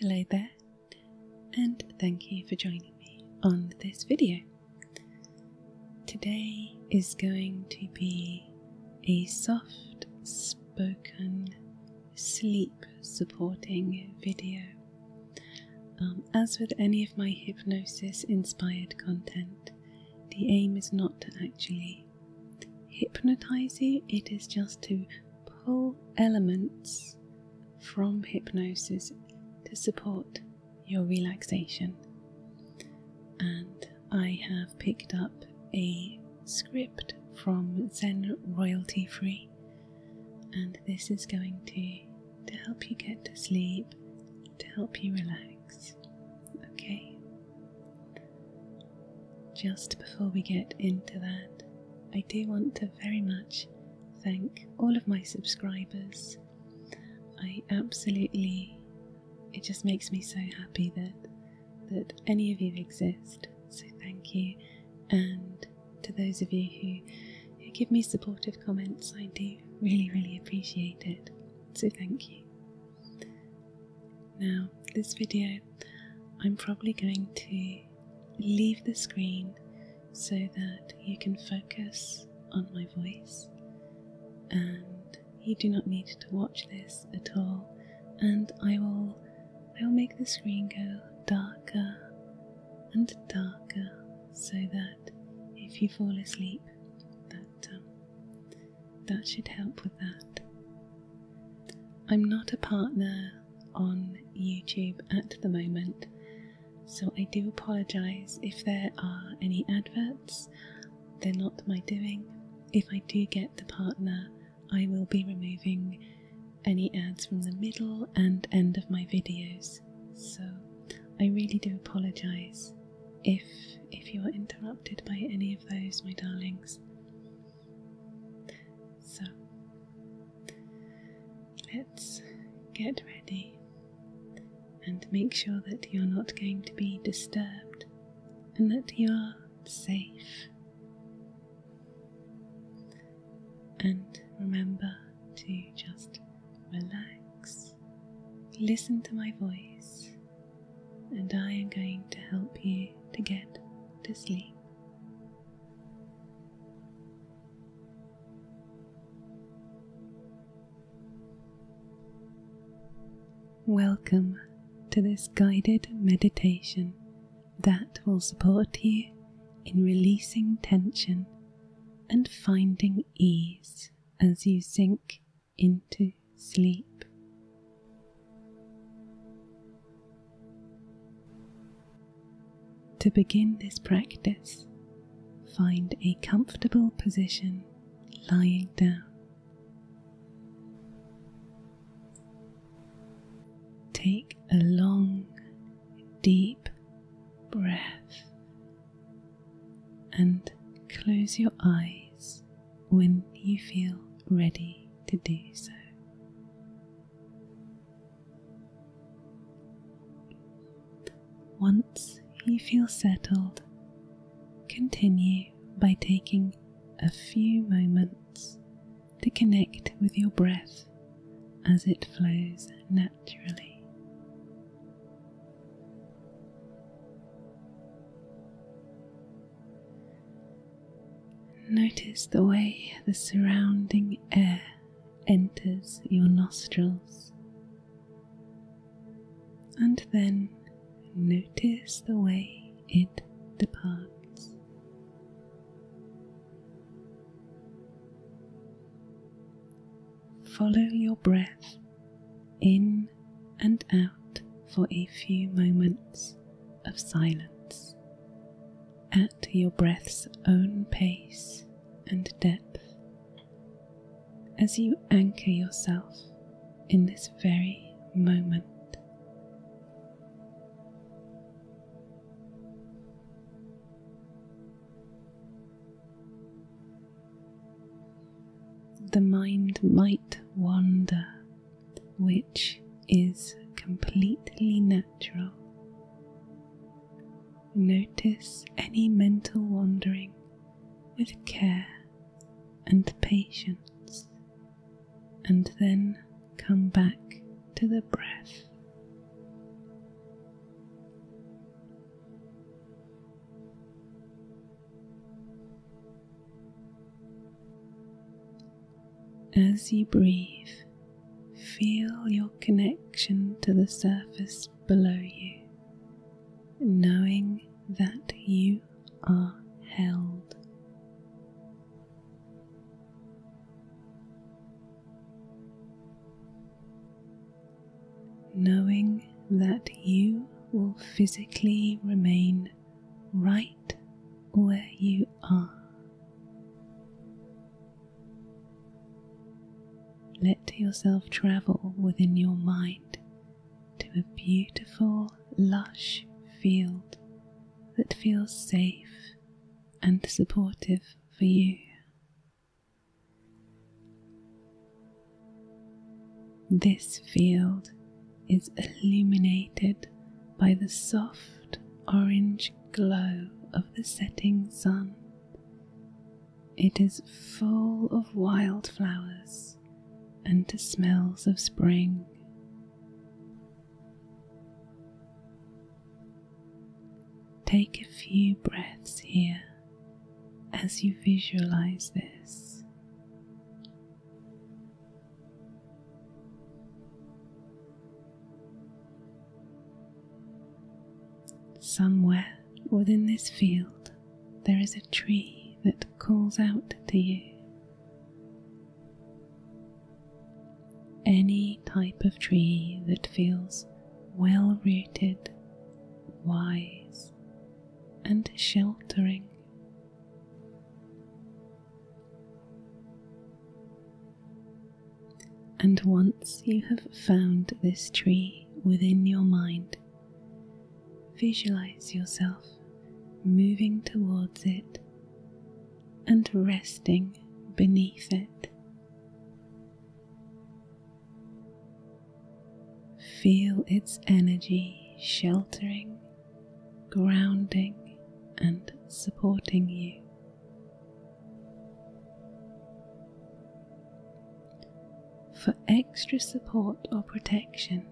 Hello there, and thank you for joining me on this video. Today is going to be a soft spoken sleep supporting video. Um, as with any of my hypnosis inspired content, the aim is not to actually hypnotize you, it is just to pull elements from hypnosis to support your relaxation. And I have picked up a script from Zen Royalty Free, and this is going to, to help you get to sleep, to help you relax. Okay, just before we get into that, I do want to very much thank all of my subscribers. I absolutely, it just makes me so happy that that any of you exist. So thank you, and to those of you who, who give me supportive comments, I do really really appreciate it. So thank you. Now, this video, I'm probably going to leave the screen so that you can focus on my voice and you do not need to watch this at all and I will I will make the screen go darker and darker so that if you fall asleep that um, that should help with that. I'm not a partner on YouTube at the moment, so I do apologise if there are any adverts. They're not my doing. If I do get the partner, I will be removing any ads from the middle and end of my videos. So I really do apologise if if you are interrupted by any of those, my darlings. So let's get ready and make sure that you're not going to be disturbed and that you're safe. And remember to just relax, listen to my voice, and I am going to help you to get to sleep. Welcome to this guided meditation that will support you in releasing tension and finding ease as you sink into sleep. To begin this practice, find a comfortable position lying down. Take a long, deep breath and close your eyes when you feel ready to do so. Once you feel settled, continue by taking a few moments to connect with your breath as it flows naturally. Notice the way the surrounding air enters your nostrils. And then notice the way it departs. Follow your breath in and out for a few moments of silence at your breath's own pace and depth as you anchor yourself in this very moment the mind might wander, which is completely natural. Notice any mental wandering with care and patience, and then come back to the breath. As you breathe, feel your connection to the surface below you, knowing that you are held. Knowing that you will physically remain right where you are. Let yourself travel within your mind to a beautiful, lush field that feels safe and supportive for you. This field is illuminated by the soft orange glow of the setting sun. It is full of wildflowers and the smells of spring. Take a few breaths here as you visualize this. Somewhere within this field, there is a tree that calls out to you. Any type of tree that feels well rooted, wise, and sheltering. And once you have found this tree within your mind, visualize yourself moving towards it and resting beneath it. Feel its energy sheltering, grounding, and supporting you. For extra support or protection,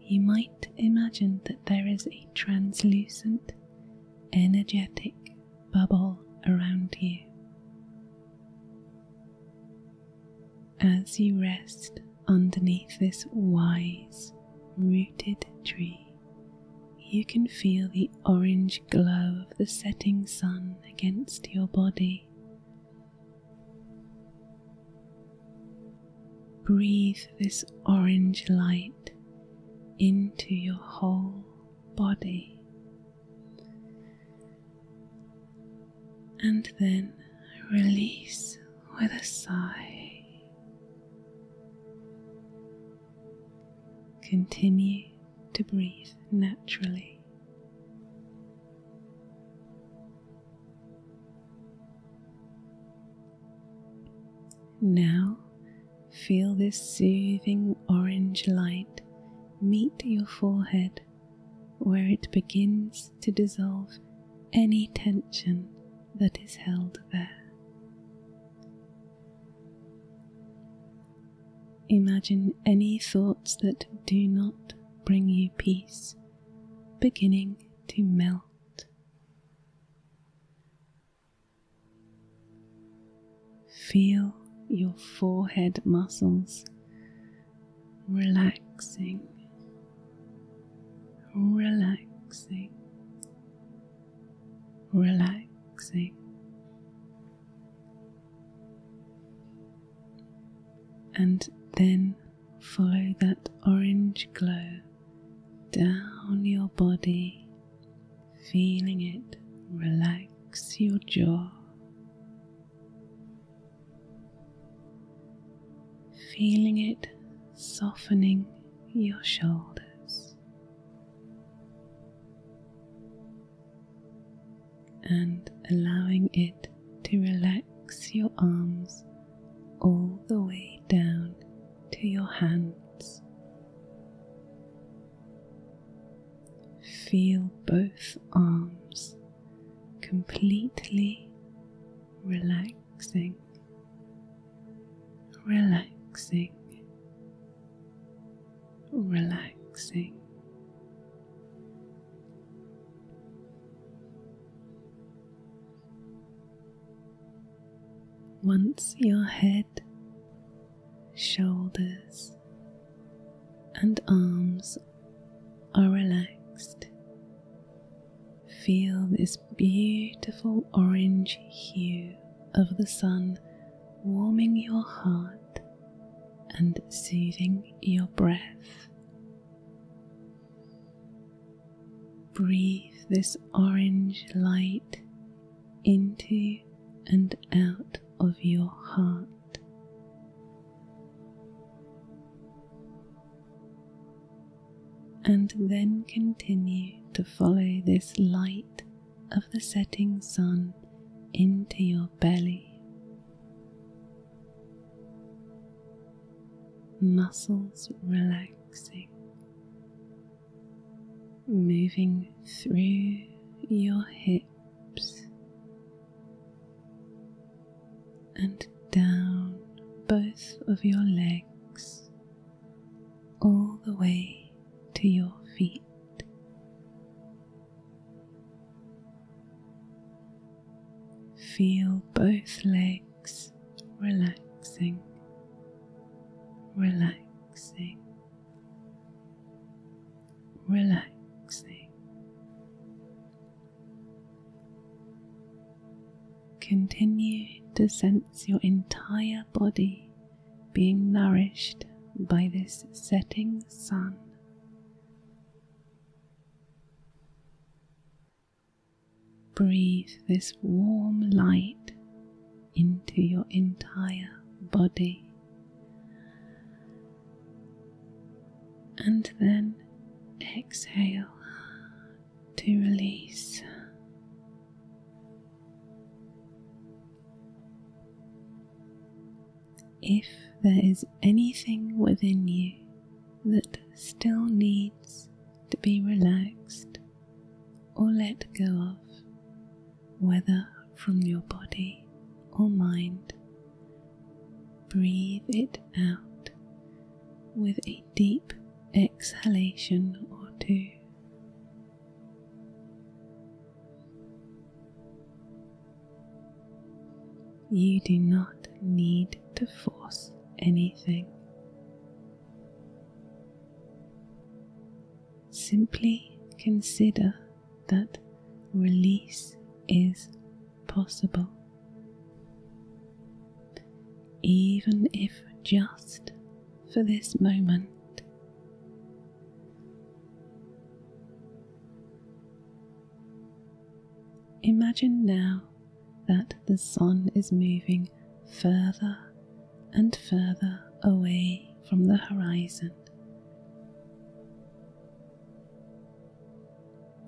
you might imagine that there is a translucent, energetic bubble around you as you rest underneath this wise rooted tree. You can feel the orange glow of the setting sun against your body. Breathe this orange light into your whole body and then release with a sigh. Continue to breathe naturally. Now feel this soothing orange light meet your forehead where it begins to dissolve any tension that is held there. Imagine any thoughts that do not bring you peace beginning to melt. Feel your forehead muscles relaxing, relaxing, relaxing. And then follow that orange glow down your body, feeling it relax your jaw, feeling it softening your shoulders and allowing it to relax your arms all the way down to your hands. Feel both arms completely relaxing, relaxing, relaxing. Once your head, shoulders, and arms are relaxed. Feel this beautiful orange hue of the sun warming your heart and soothing your breath. Breathe this orange light into and out of your heart. And then continue to follow this light of the setting sun into your belly. Muscles relaxing, moving through your hips and down both of your legs all the way to your feet. Feel both legs relaxing, relaxing, relaxing. Continue to sense your entire body being nourished by this setting sun. Breathe this warm light into your entire body and then exhale to release. If there is anything within you that still needs to be relaxed or let go of, whether from your body or mind. Breathe it out with a deep exhalation or two. You do not need to force anything. Simply consider that release is possible. Even if just for this moment. Imagine now that the sun is moving further and further away from the horizon.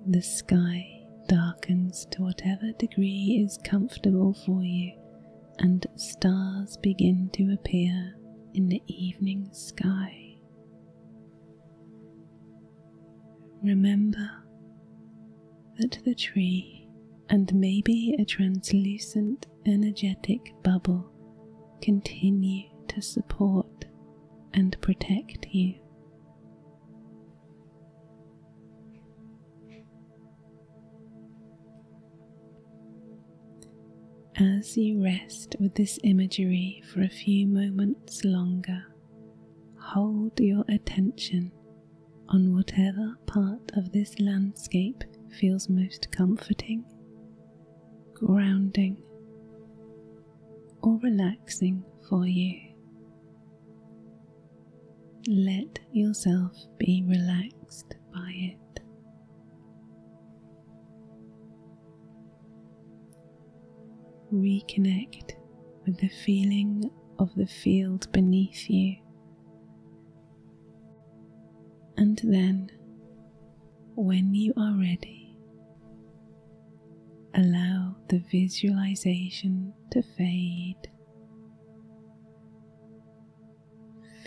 The sky darkens to whatever degree is comfortable for you, and stars begin to appear in the evening sky. Remember that the tree, and maybe a translucent energetic bubble continue to support and protect you. As you rest with this imagery for a few moments longer, hold your attention on whatever part of this landscape feels most comforting grounding, or relaxing for you. Let yourself be relaxed by it. Reconnect with the feeling of the field beneath you and then, when you are ready, allow the visualization to fade.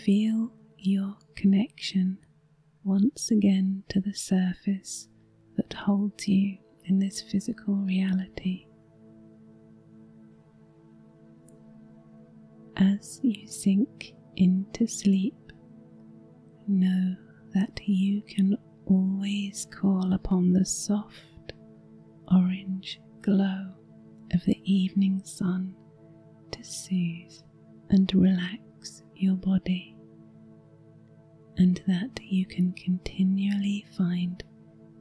Feel your connection once again to the surface that holds you in this physical reality. As you sink into sleep, know that you can always call upon the soft orange glow of the evening sun to soothe and relax your body, and that you can continually find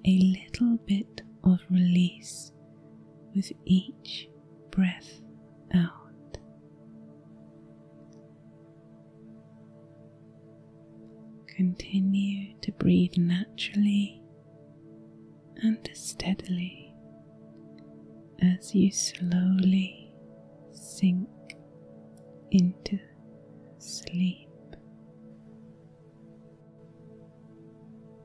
a little bit of release with each breath out. Continue to breathe naturally and steadily as you slowly sink into sleep.